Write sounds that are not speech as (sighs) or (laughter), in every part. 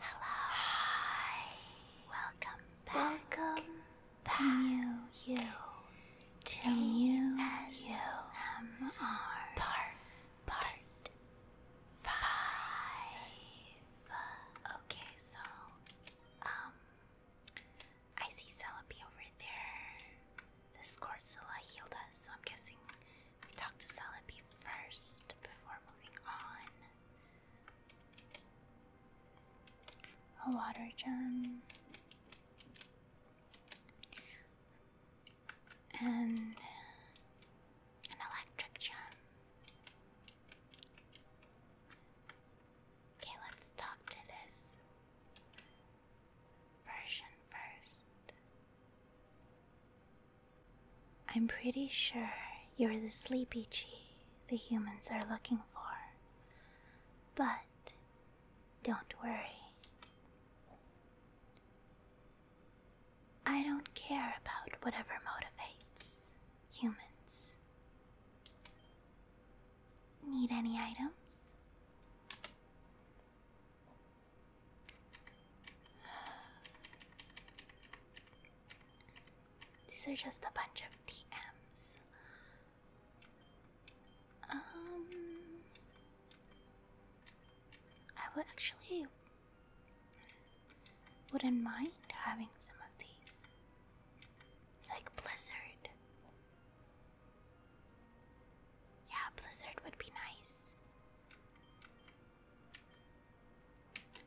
Hello. Hi. Welcome back. Welcome back to new you. To new you. MR. Part. Part. Five. Okay, so um, I see Celebi over there. The Scorzilla healed us, so I'm guessing we talked to Celebi first before moving on. A water gem. And an electric gem. Okay, let's talk to this version first. I'm pretty sure you're the sleepy chi the humans are looking for. But don't worry. I don't care about whatever motivates humans. Need any items? These are just a bunch of TMs. Um, I would actually wouldn't mind having some of these. Like Blizzard. Yeah, Blizzard would be nice.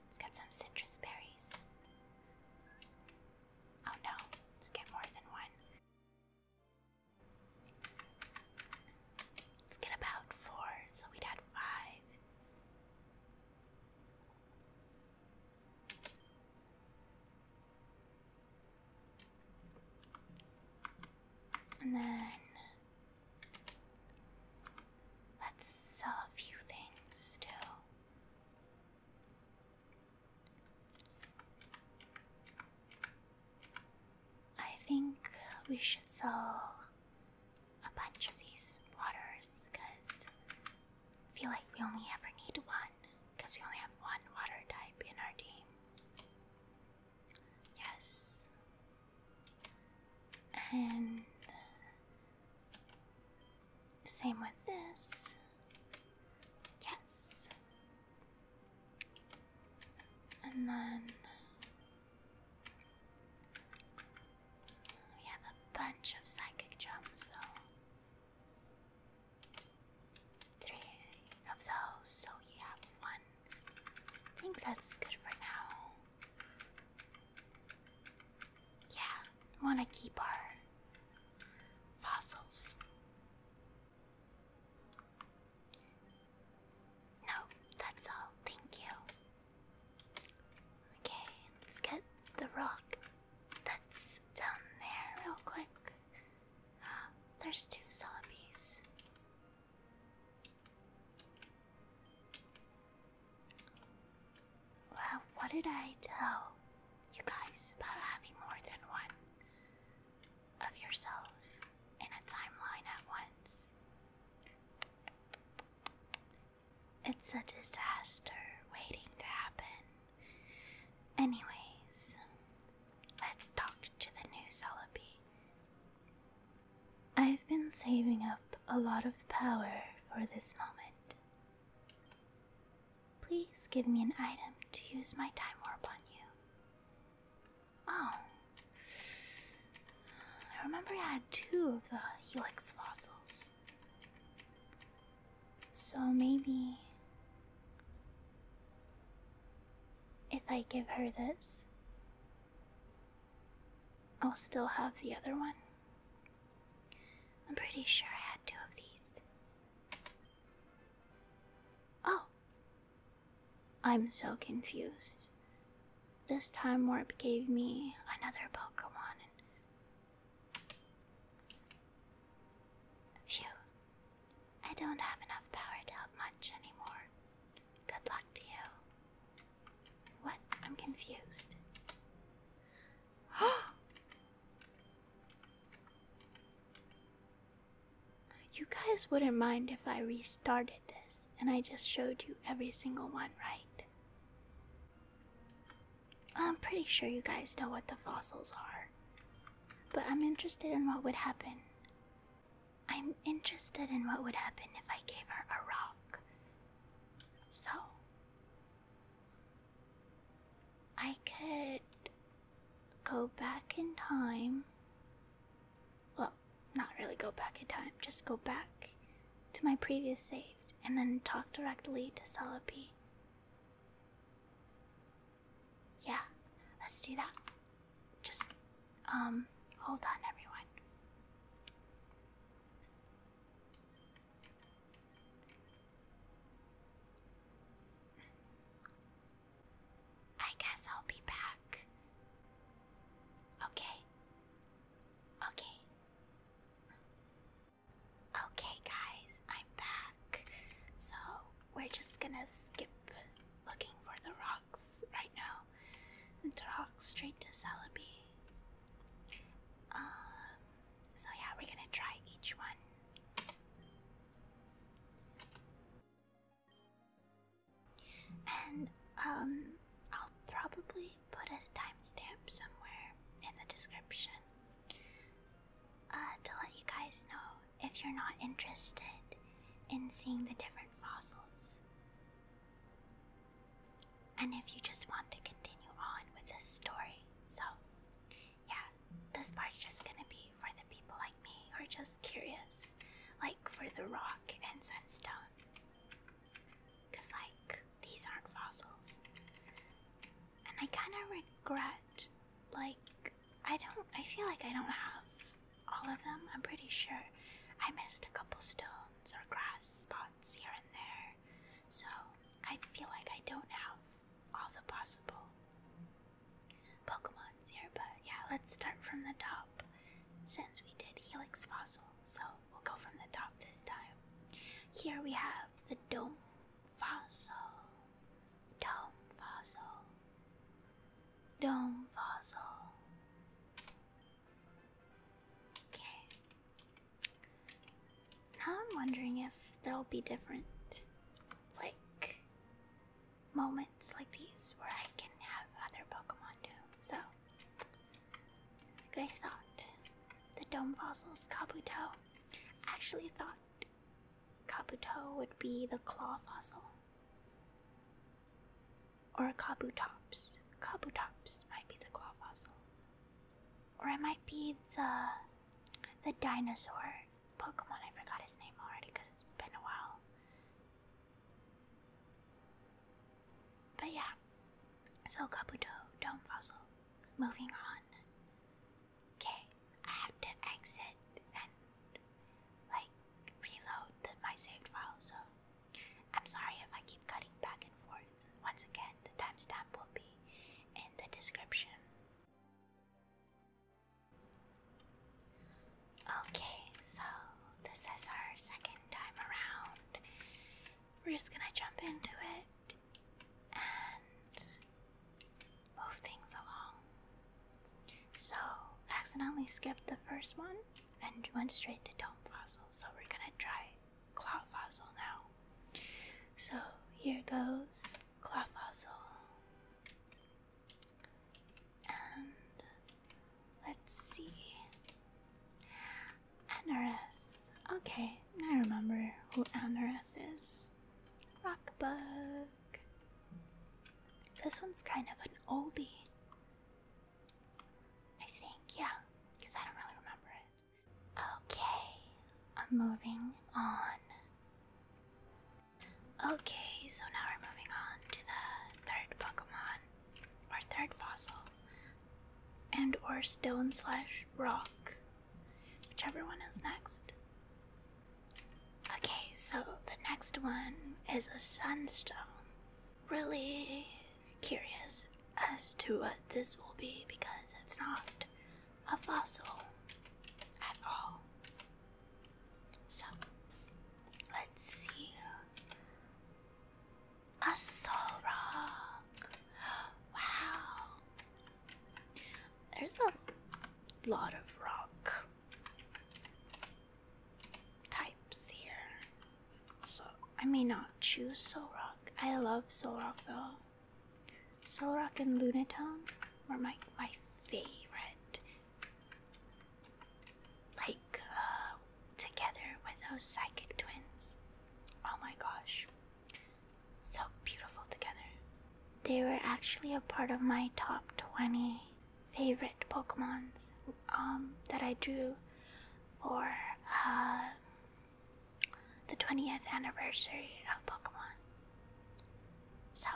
It's got some citrus berries. Oh no, let's get more than one. Let's get about four, so we'd had five. And then let's sell a few things too. I think we should sell a bunch of these waters because I feel like we only ever need one because we only have one water type in our team. Yes. And same with this. Yes. And then we have a bunch of psychic jumps, so three of those, so you have one. I think that's good for now. Yeah, wanna keep our fossils. No, that's all. Thank you. Okay, let's get the rock that's down there real quick. Ah, there's two celebrities. Well, what did I tell you guys about having more than one of yourself in a timeline at once? It's a disaster waiting to happen. Anyways, let's talk to the new Celebi. I've been saving up a lot of power for this moment. Please give me an item to use my time warp on you. Oh. I remember I had two of the helix fossils. So maybe if I give her this, I'll still have the other one. I'm pretty sure I had two of these. Oh! I'm so confused. This time Warp gave me another Pokemon, Phew. I don't have enough power to help much anymore. Good luck to you. What? I'm confused. (gasps) you guys wouldn't mind if I restarted this and I just showed you every single one, right? I'm pretty sure you guys know what the fossils are, but I'm interested in what would happen. I'm interested in what would happen if I gave her a rock. So, I could go back in time. Well, not really go back in time, just go back to my previous save and then talk directly to Celebi. Yeah, let's do that. Just, um, hold on, everyone. I guess I'll be back. Okay. Okay. Okay, guys, I'm back. So, we're just gonna skip looking for the rocks right now and talk straight to Celebi. Um, so, yeah, we're gonna try each one. And, um, I'll probably put a timestamp somewhere in the description uh, to let you guys know if you're not interested in seeing the different fossils. And if you just want to continue on with this story. So, yeah, this part's just gonna be for the people like me who are just curious, like for the rock and sandstone. Because, like, these aren't fossils. And I kind of regret, like, I don't, I feel like I don't have all of them. I'm pretty sure I missed a couple stones or grass spots here and there. So I feel like I don't have all the possible Pokemons here. But yeah, let's start from the top since we did Helix Fossil. So We'll go from the top this time. Here we have the dome fossil. Dome fossil. Dome fossil. Okay. Now I'm wondering if there'll be different, like, moments like these where I can have other Pokemon too. So, I thought. The dome fossils, Kabuto. actually thought Kabuto would be the claw fossil. Or Kabutops. Kabutops might be the claw fossil. Or it might be the the dinosaur Pokemon. I forgot his name already because it's been a while. But yeah, so, Kabuto, don't fuzzle. Moving on. Okay, I have to exit and, like, reload my saved file, so I'm sorry if I keep cutting back and forth. Once again, the timestamp will be in the description. Okay, so this is our second time around. We're just gonna jump into it move things along. So, accidentally skipped the first one and went straight to dome fossil. So, we're gonna try claw fossil now. So, here goes claw fossil. And let's see. Anaris. Okay, I remember who Anaris is. Rockbug. This one's kind of an oldie. I think, yeah, because I don't really remember it. Okay, I'm moving on. Okay, so now we're moving on to the third Pokemon, or third fossil, and or stone slash rock. Whichever one is next. Okay, so the next one is a sunstone. Really curious as to what this will be because it's not a fossil at all. So, let's see a Solrock. (gasps) Wow. There's a lot of rock types here. So I may not choose Solrock. I love Solrock though. Solrock and Lunatone were my my favorite. Like uh, together with those psychic twins. Oh my gosh. So beautiful together. They were actually a part of my top 20 favorite Pokemons um, that I drew for uh, the 20th anniversary of Pokemon. So,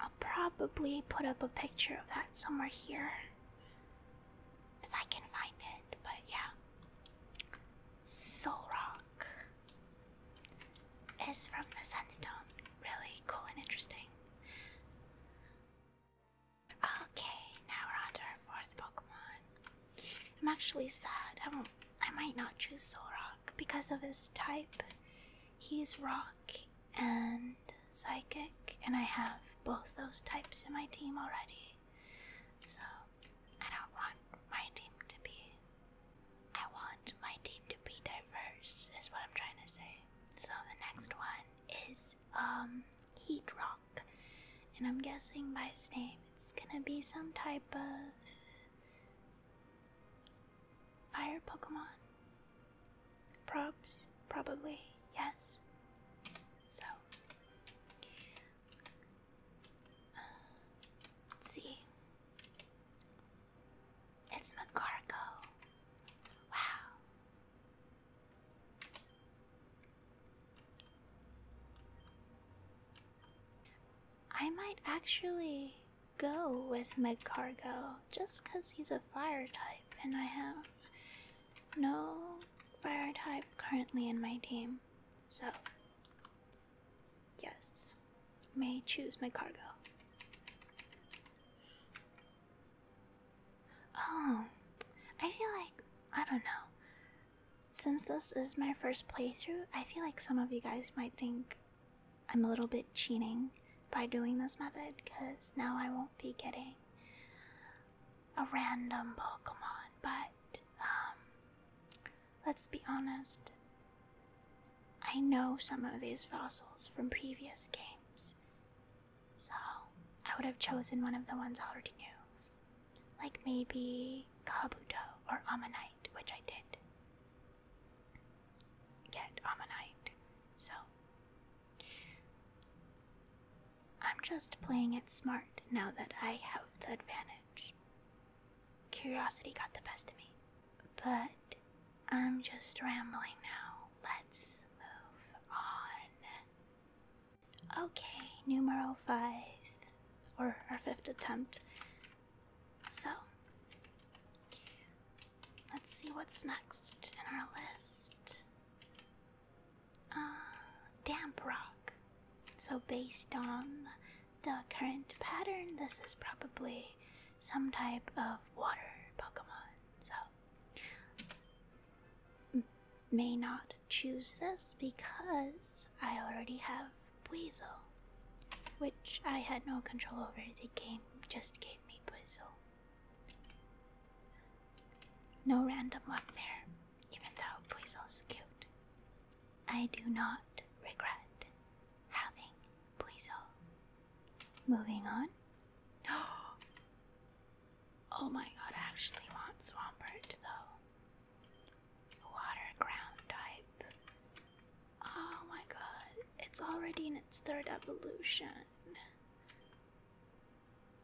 I'll probably put up a picture of that somewhere here if I can find it, but yeah. Soul is from the Sunstone. Really cool and interesting. Okay, now we're on to our fourth Pokemon. I'm actually sad. I will I might not choose Solrock because of his type. He's rock and psychic, and I have both those types in my team already. So I don't want my team to be. I want my team to be diverse, is what I'm trying to say. So the next one is um Heat Rock, and I'm guessing by its name it's gonna be some type of fire Pokemon. Probs, probably yes. So, let's see. It's McCargo. Wow. I might actually go with McCargo just because he's a fire type and I have no fire type currently in my team, so yes, may choose my cargo. Oh, I feel like, I don't know, since this is my first playthrough, I feel like some of you guys might think I'm a little bit cheating by doing this method because now I won't be getting a random Pokemon, but um, let's be honest, I know some of these fossils from previous games, so I would have chosen one of the ones I already knew. Like maybe Kabuto or Ammonite, which I did get Ammonite. So, I'm just playing it smart now that I have the advantage. Curiosity got the best of me. But I'm just rambling now. Let's move on. Okay, numero five, or our fifth attempt. So, let's see what's next in our list. Uh, damp rock. So, based on the current pattern, this is probably some type of water Pokemon. So, may not choose this because I already have Buizel, which I had no control over. The game just gave me Buizel. No random luck there even though Buizel's cute. I do not regret having Buizel. Moving on. (gasps) Oh my god, I actually want Swampert though. Water ground type. Oh my god, it's already in its third evolution.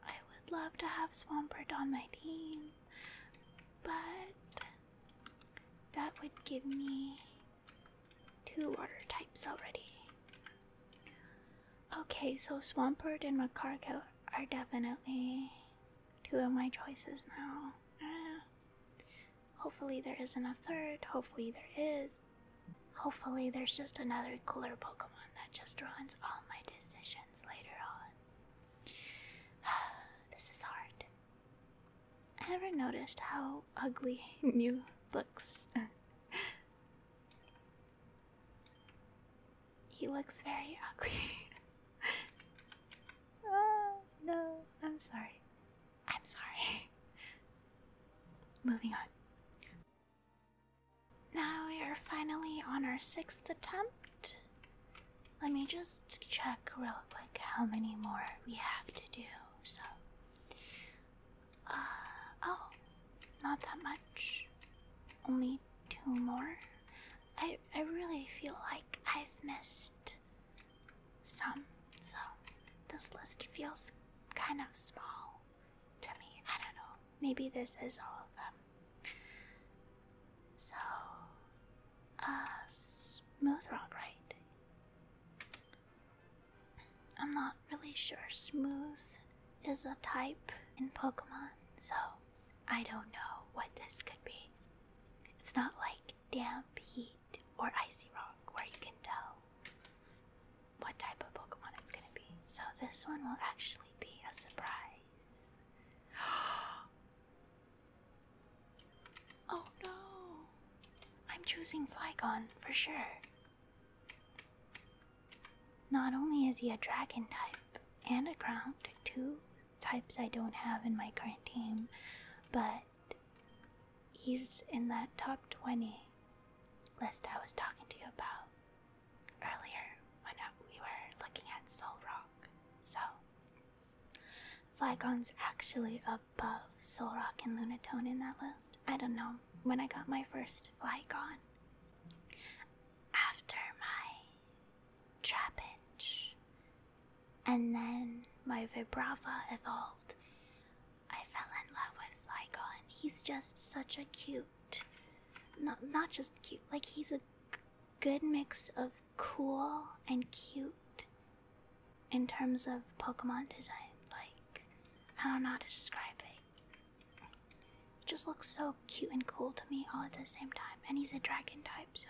I would love to have Swampert on my team, but that would give me two water types already. Okay, so Swampert and Macargo are definitely two of my choices now. Eh, hopefully, there isn't a third. Hopefully, there is. Hopefully, there's just another cooler Pokemon that just ruins all my decisions later on. (sighs) this is hard. I never noticed how ugly (laughs) Mew looks. (laughs) he looks very ugly. (laughs) oh, no, I'm sorry. I'm sorry. Moving on. Now we are finally on our sixth attempt. Let me just check real quick how many more we have to do. So, uh, oh, not that much. Only two more. I, I really feel like I've missed some, so this list feels kind of small to me. I don't know. Maybe this is all of them. So, uh, smooth rock, right? I'm not really sure. Smooth is a type in Pokemon, so I don't know what this could be. It's not like damp, heat, or icy rock where you can tell what type of Pokemon it's gonna be. So this one will actually be a surprise. (gasps) oh no! I'm choosing Flygon for sure. Not only is he a dragon type and a ground, two types I don't have in my current team, but he's in that top 20 list I was talking to you about earlier when we were looking at Sol So, Flygon's actually above Sol Rock and Lunatone in that list. I don't know. When I got my first Flygon, after my Trapinch, and then my Vibrava evolved, I fell in love with Flygon. He's just such a cute not, not just cute, like he's a good mix of cool and cute in terms of Pokemon design. Like, I don't know how to describe it. It just looks so cute and cool to me all at the same time. And he's a dragon type, so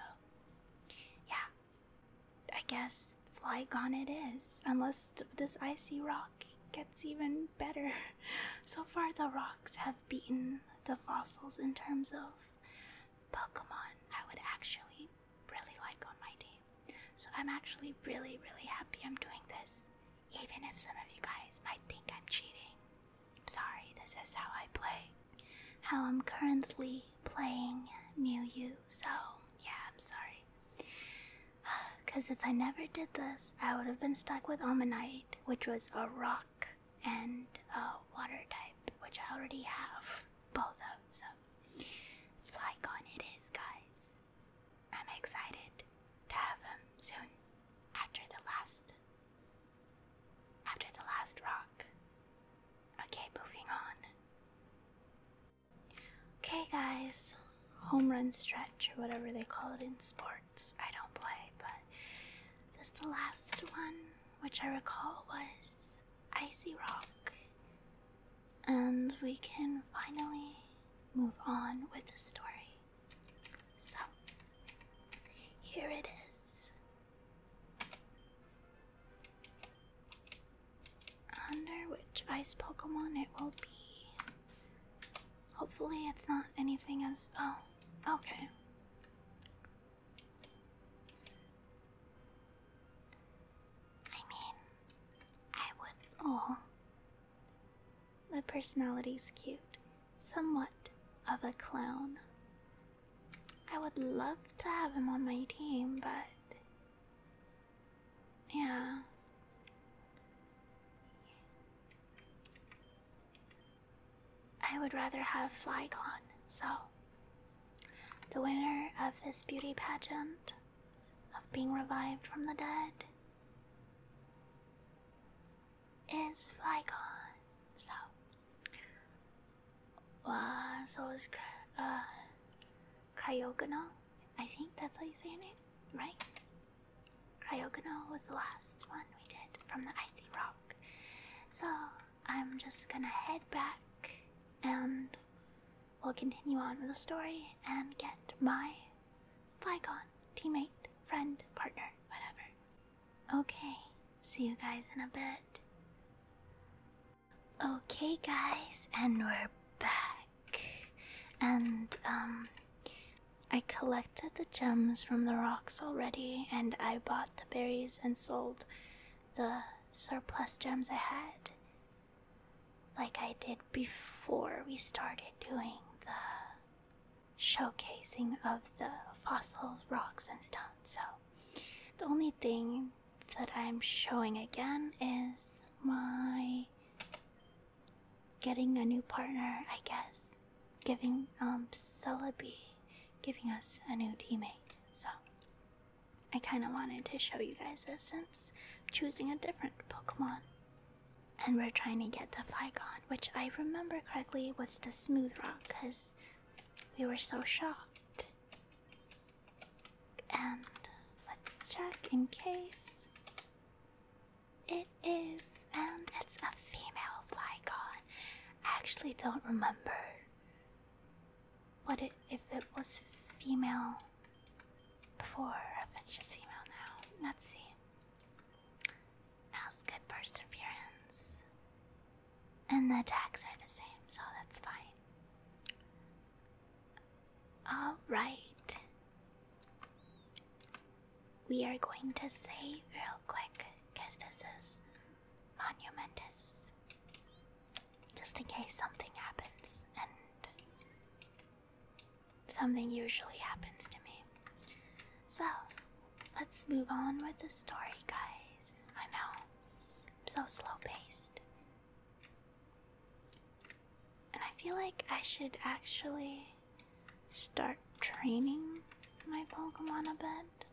yeah. I guess Flygon it is. Unless this icy rock gets even better. (laughs) so far, the rock have beaten the fossils in terms of Pokemon I would actually really like on my team. So I'm actually really, really happy I'm doing this. Even if some of you guys might think I'm cheating. I'm sorry, this is how I play. How I'm currently playing Mew, so yeah, I'm sorry. Because (sighs) if I never did this, I would have been stuck with Omanite, which was a rock and a water type, which I already have both of, so Flycon it is, guys. I'm excited to have them soon after the last after the last rock. Okay, moving on. Okay guys, home run stretch or whatever they call it in sport. I don't play, but this the last one, which I recall was Icy Rock. And we can finally move on with the story. So, here it is. Under which ice Pokemon it will be. Hopefully, it's not anything as. Oh, okay. I mean, I would. Oh. The personality's cute. Somewhat of a clown. I would love to have him on my team, but. Yeah. I would rather have Flygon. So, the winner of this beauty pageant, of being revived from the dead, is Flygon. So, wow, uh, so is uh, Cryogano. I think that's how you say her name, right? Cryogonal was the last one we did from the icy rock. So I'm just gonna head back and we'll continue on with the story and get my Flygon teammate, friend, partner, whatever. Okay, see you guys in a bit. Okay guys, and we're back. And um I collected the gems from the rocks already, and I bought the berries and sold the surplus gems I had, like I did before we started doing the showcasing of the fossils, rocks, and stones. So, the only thing that I'm showing again is my getting a new partner, I guess. Giving um Celebi giving us a new teammate. So I kinda wanted to show you guys this since choosing a different Pokemon. And we're trying to get the Flygon, which I remember correctly was the smooth rock, because we were so shocked. And let's check in case. It is, and it's a female Flygon. I actually don't remember what if it was female before, if it's just female now. Let's see. Now's good perseverance. And the attacks are the same, so that's fine. Alright we are going to save real quick because this is monumentous. Just in case something happens, and something usually happens to me. So, let's move on with the story, guys. I know, so slow paced. And I feel like I should actually start training my Pokemon a bit.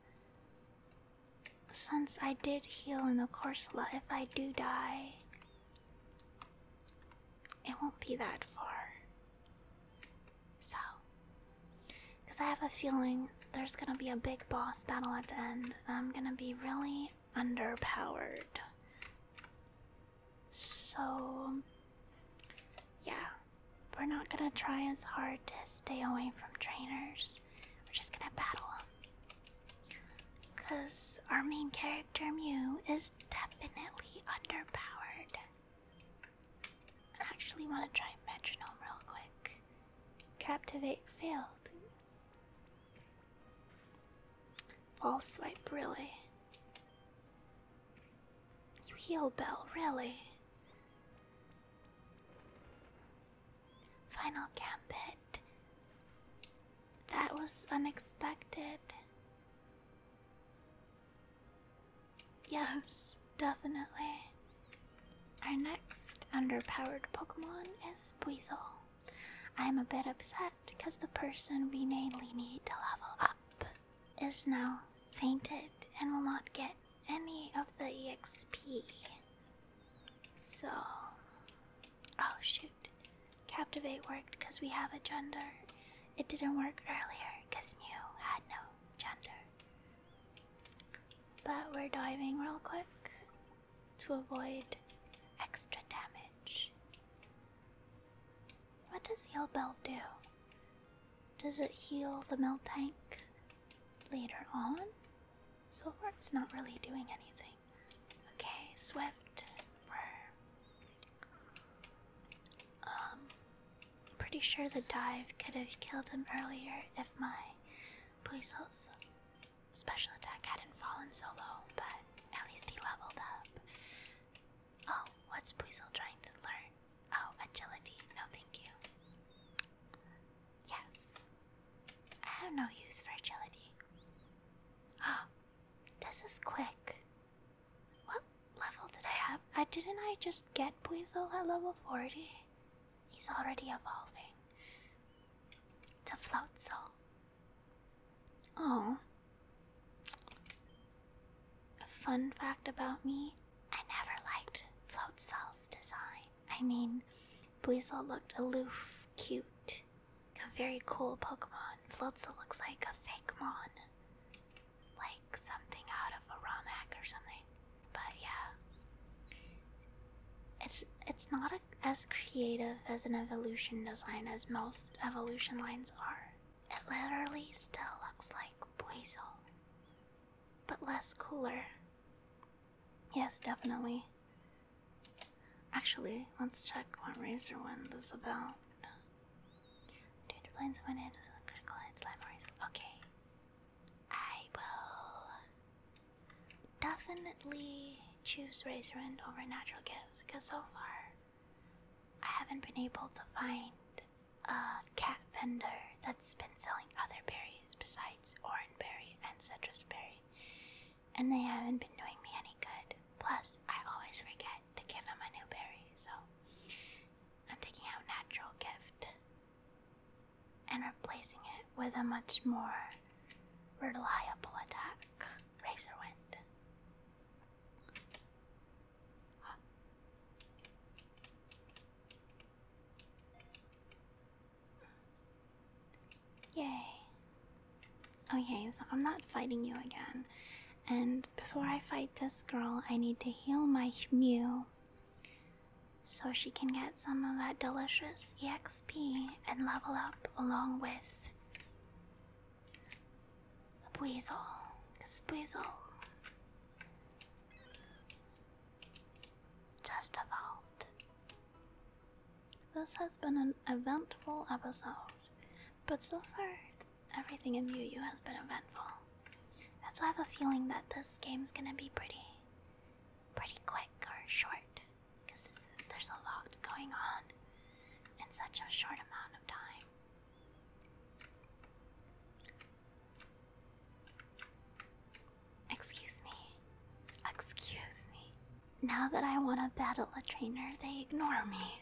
Since I did heal in the course, Corsola, if I do die, it won't be that far. So, because I have a feeling there's gonna be a big boss battle at the end, and I'm gonna be really underpowered. So, um, yeah, we're not gonna try as hard to stay away from trainers. We're just gonna battle Because our main character, Mew, is definitely underpowered. I actually want to try metronome real quick. Captivate failed. False swipe, really. You heal, Bell, really? Final Gambit. That was unexpected. Yes, definitely. Our next underpowered Pokemon is Buizel. I'm a bit upset because the person we mainly need to level up is now fainted and will not get any of the EXP. So. Oh shoot. Captivate worked because we have a gender. It didn't work earlier because Mew had no gender. But we're diving real quick to avoid extra damage. What does Heal Bell do? Does it heal the milk tank later on? So far, it's not really doing anything. Okay, Swift Um, pretty sure the dive could have killed him earlier if my police special attack hadn't fallen so low, but at least he leveled up. Oh, what's Puzzle trying to learn? Oh, agility. No, thank you. Yes. I have no use for agility. Oh, (gasps) this is quick. What level did I have? I uh, didn't I just get Puzzle at level 40? He's already evolving. To float soul. Oh, a fun fact about me I never liked Float Cell's design. I mean, Buizel looked aloof, cute, a very cool Pokemon. Floatzel looks like a fake Mon. Like something out of a ROM hack or something. But yeah. It's it's not as creative as an evolution design as most evolution lines are. It literally still looks like Poiso, but less cooler. Yes, definitely. Actually, let's check what Razorwind, Wind is about. Due to critical hit slime Okay. I will definitely choose Razor over Natural Gifts because so far I haven't been able to find a cat vendor that's been selling other berries besides orange berry and citrus berry, and they haven't been doing me any good. Plus, I always forget to give him a new berry, so I'm taking out natural gift and replacing it with a much more reliable attack, wind. Yay. Okay, oh, so I'm not fighting you again. And before I fight this girl, I need to heal my Mew so she can get some of that delicious EXP and level up along with Squeezle. Squeezle. Just evolved. This has been an eventful episode, but so far everything in UU has been eventful. That's why I have a feeling that this game's gonna be pretty, pretty quick or short, because there's a lot going on in such a short amount of time. Excuse me. Excuse me. Now that I want to battle a trainer, they ignore me.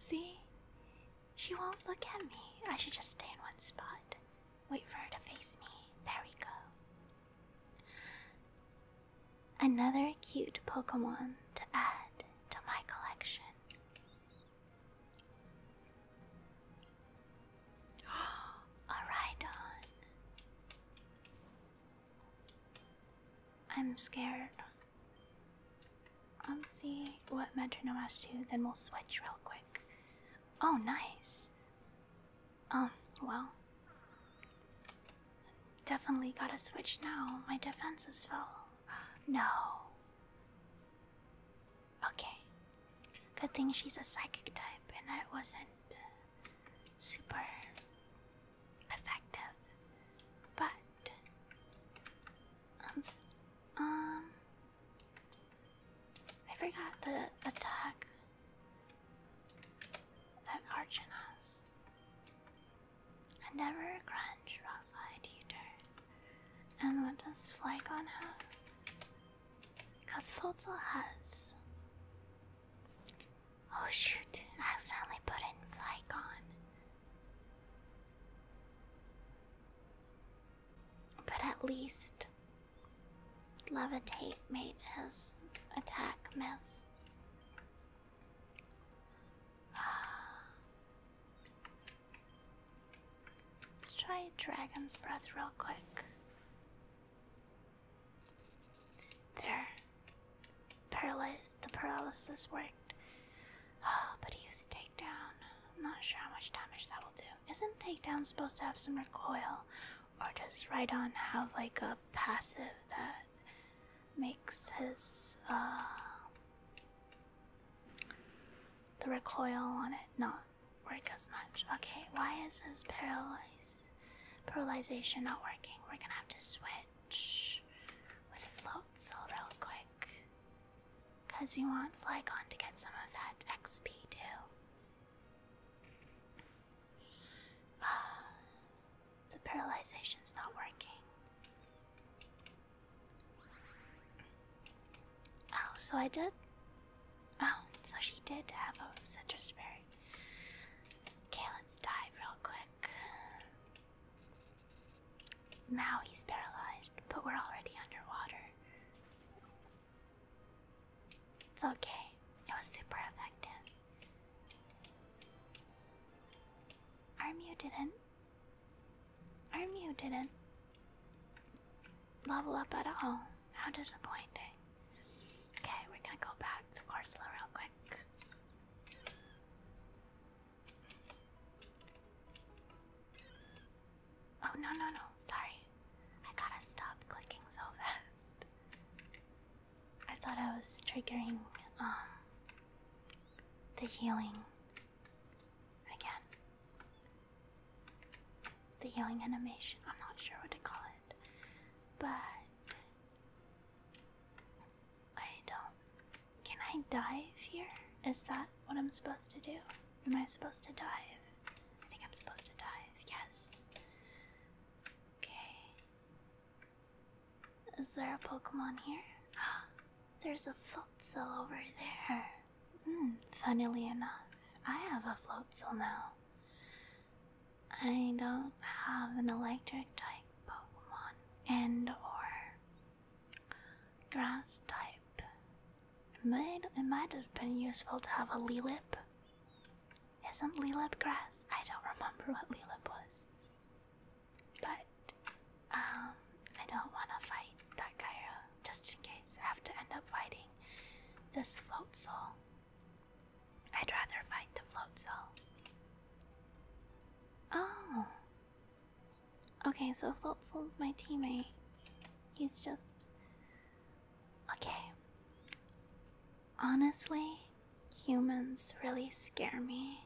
See? She won't look at me. I should just stay in one spot. Wait for her to face me. There we go. Another cute Pokemon to add to my collection. A (gasps) Rhydon. I'm scared. I'll see what metronome has to, then we'll switch real quick. Oh, nice. Um, well. Definitely gotta switch now. My defenses fell. (gasps) No. Okay. Good thing she's a psychic type and that it wasn't uh, super effective. But um, I forgot the attack that Archon has. never grunge rock slide you and what does Flygon have? Because Floatzel has. Oh shoot, I accidentally put in Flygon. But at least Levitate made his attack miss. Let's try Dragon's Breath real quick. There. Paralyze the paralysis worked. Oh, but he used takedown. I'm not sure how much damage that will do. Isn't takedown supposed to have some recoil? Or does Rhydon have like a passive that makes his uh, the recoil on it not work as much. Okay, why is this paralyzed paralyzation not working? We're gonna have to switch with float cell real quick. Cause we want Flygon to get some of that XP too. Uh, the paralyzation's not working. Oh, so I did? Oh, so she did have a citrus berry. Okay, let's dive real quick. Now he's paralyzed, but we're already underwater. It's okay, it was super effective. Armu didn't you didn't level up at all. How disappointing. Okay, we're gonna go back to Corsola real quick. Oh no no no, sorry. I gotta stop clicking so fast. I thought I was triggering um the healing again the healing animation. I'm not sure what to call it, but I don't. Can I dive here? Is that what I'm supposed to do? Am I supposed to dive? I think I'm supposed to dive. Yes. Okay. Is there a Pokemon here? (gasps) There's a float over there. Hmm, funnily enough, I have a floatzel now. I don't have an electric type Pokemon and or grass type. It might it might have been useful to have a Lilip. Isn't Lilip grass? I don't (laughs) remember what Lilip was. But um, I don't want to fight that Gyro, uh, just in case I have to end up fighting this float I'd rather fight the float soul. Oh! Okay, so float soul's my teammate. He's just. Okay. Honestly, humans really scare me.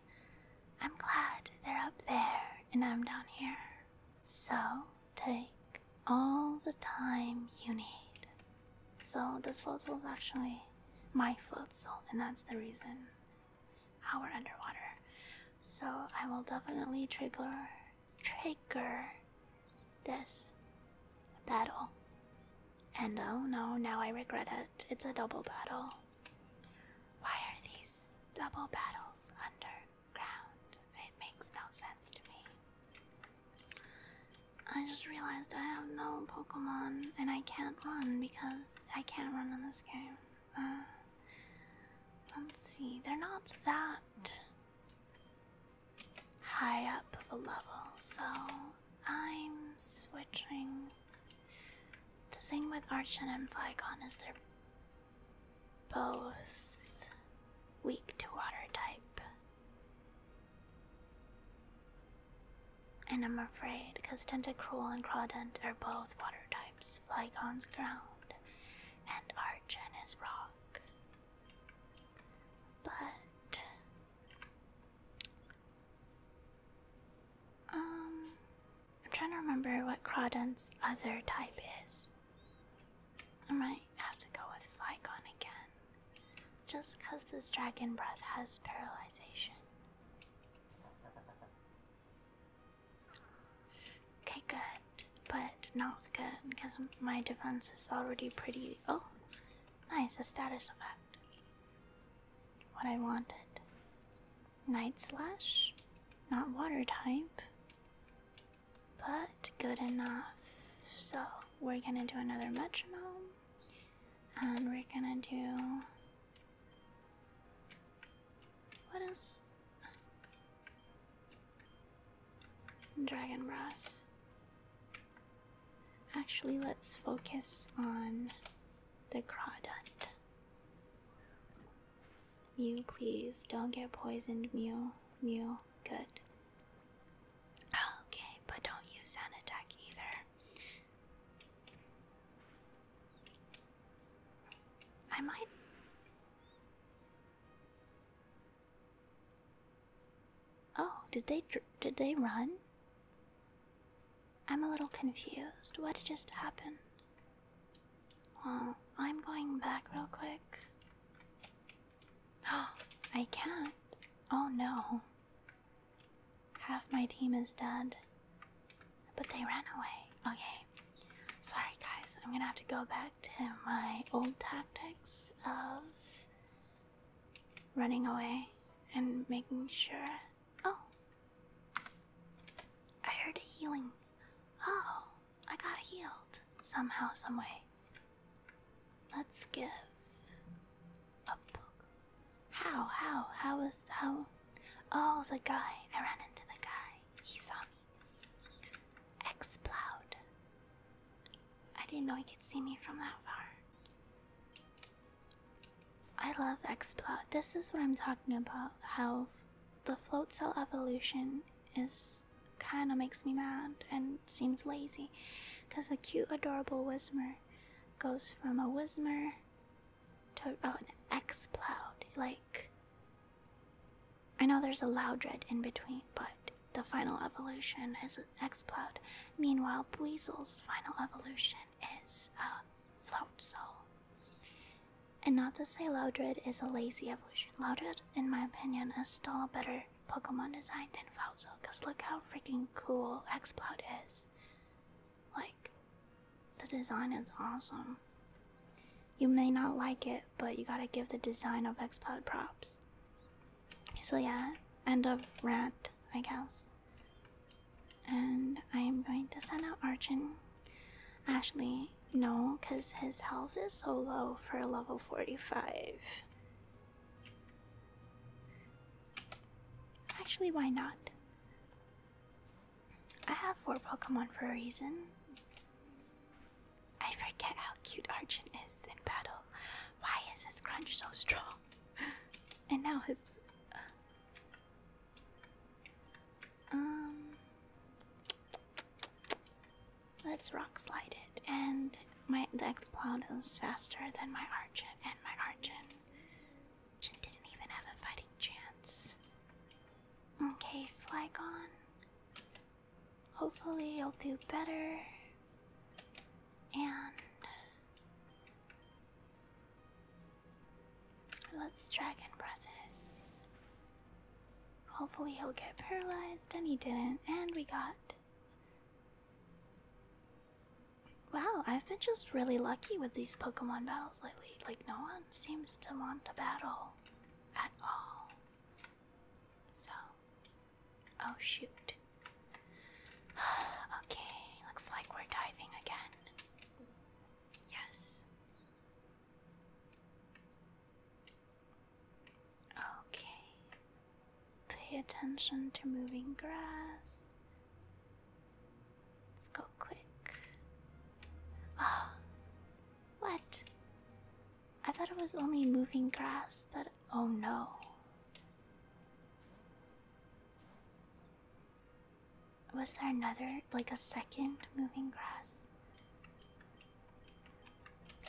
I'm glad they're up there and I'm down here. So take all the time you need. So this fossil is actually my flotsel, and that's the reason how we're underwater. So I will definitely trigger trigger this battle. And oh no, now I regret it. It's a double battle. Why are these double battles under ground. It makes no sense to me. I just realized I have no Pokemon and I can't run because I can't run in this game. Uh, let's see, they're not that high up of a level, so I'm switching. The thing with Archon and Flygon is they're both weak to water type. And I'm afraid because Tentacruel and Crawdent are both water types. Flygon's ground and Archen is rock. But um I'm trying to remember what Crawdon's other type is. I might have to go with Flygon again, just because this dragon breath has paralysis. Okay, good, but not good because my defense is already pretty. Oh, nice, a status effect. What I wanted. Night Slash, not water type, but good enough. So we're gonna do another metronome, and we're gonna do. What Dragon Breath. Actually, let's focus on the crawdad. Mew, please don't get poisoned, Mew. Mew, good. Okay, but don't use Sun Attack either. I might. Oh, did they did they run? I'm a little confused. What just happened? Well, I'm going back real quick. Oh, (gasps) I can't. Oh no. Half my team is dead. But they ran away. Okay. Sorry guys, I'm gonna have to go back to my old tactics of running away and making sure. Oh, I heard a healing. Oh, I got healed somehow, someway. Let's give a book. How? How? How was how? Oh, the guy. I ran into the guy. He saw me. Exploud. I didn't know he could see me from that far. I love Exploud. This is what I'm talking about. How the float cell evolution is kind of makes me mad and seems lazy because the cute adorable Wismer goes from a Wismer to an Xploud. Like, I know there's a Loudred in between, but the final evolution is an Xploud. Meanwhile, Buizel's final evolution is a float cell. And not to say Loudred is a lazy evolution. Loudred, in my opinion, is still a better Pokemon design than Fauzo, because look how freaking cool Exploud is. Like, the design is awesome. You may not like it, but you gotta give the design of Exploud props. So, yeah, end of rant, I guess. And I am going to send out Archon Actually, no, because his health is so low for a level 45. Actually, why not? I have four Pokemon for a reason. I forget how cute Archon is in battle. Why is his crunch so strong? (laughs) and now his. Um, let's rock slide it, and my the X-Plod is faster than my Archon, and my Archon didn't even have a fighting chance. Okay, Flygon. Hopefully, you'll do better. And Let's dragon press it. Hopefully, he'll get paralyzed, and he didn't, and we got. Wow, I've been just really lucky with these Pokemon battles lately. Like, no one seems to want to battle at all. So. Oh, shoot. (sighs) okay, looks like we're diving again. Yes. Okay. Pay attention to moving grass. Let's go quick. Ah. what? I thought it was only moving grass but Oh no. Was there another, like a second moving grass?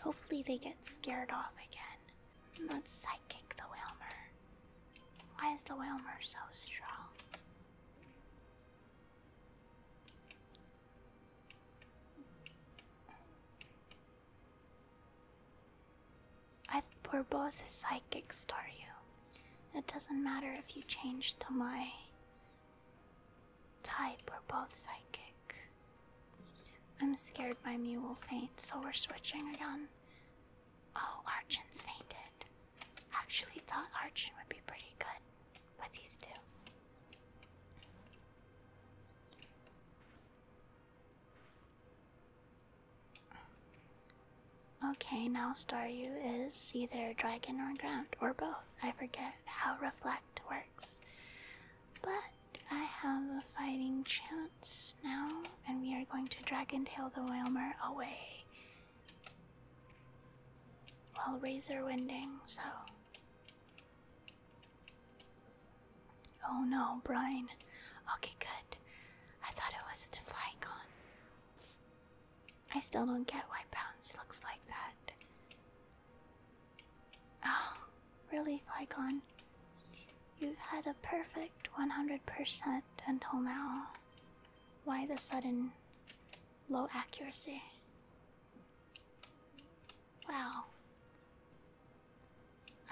Hopefully they get scared off again. Let's psychic the Wilmer. Why is the Wilmer so strong? I we're both psychics, You. It doesn't matter if you change to my type we're both psychic. I'm scared my Mew will faint, so we're switching again. Oh, Archin's fainted. Actually thought Archin would be pretty good with these two. Okay, now Staryu is either dragon or ground, or both. I forget how reflect works. But I have a fighting chance now, and we are going to drag and tail the Whalmer away while razor winding, so. Oh no, Brian. Okay, good. I thought it was a Deflygon. I still don't get why Bounce looks like that. Oh, really, Flygon? You had a perfect 100% until now. Why the sudden low accuracy? Wow.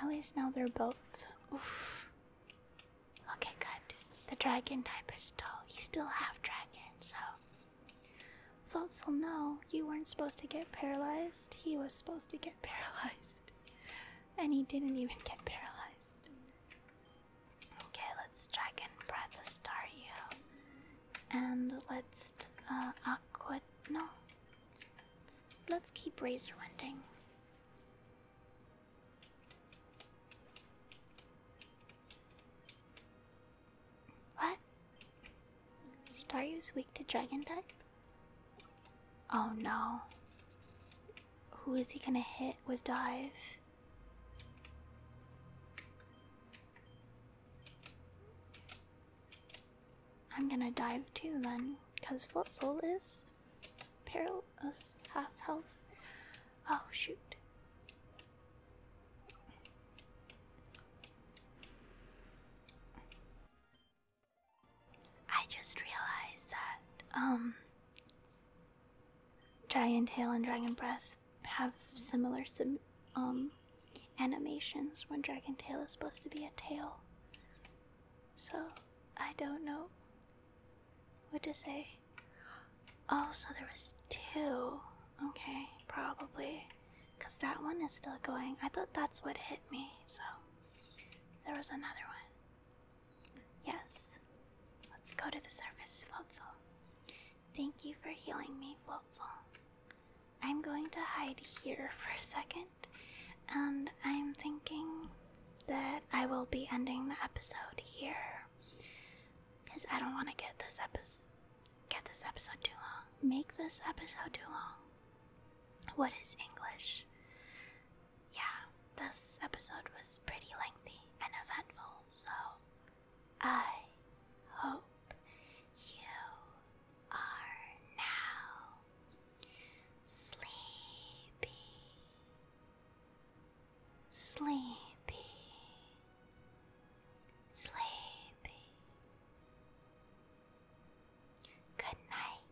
At least now they're both. Oof. Okay, good. The dragon type is still. He's still half dragon, so Floatzel, no, you weren't supposed to get paralyzed. He was supposed to get (laughs) paralyzed. And he didn't even get paralyzed. Okay, let's Dragon Breath you, And let's uh, Aqua. No. Let's, let's keep Razor Winding. What? Staryu's weak to dragon type? Oh no. Who is he gonna hit with dive? I'm gonna dive too then, because Float is perilous half health. Oh shoot. I just realized that, um, Dragon Tail and Dragon Breath have similar um animations when Dragon Tail is supposed to be a tail. So I don't know what to say. Oh, so there was two. Okay, probably. Because that one is still going. I thought that's what hit me, so. There was another one. Yes. Let's go to the surface, Floatzel. Thank you for healing me, Floatzel. I'm going to hide here (laughs) for a second, and I'm thinking that I will be ending the episode here. Cause I don't want to get this episode too long. Make this episode too long. What is English? Yeah, this episode was pretty lengthy and eventful, so I hope you are now sleepy sleepy, sleepy. Good night.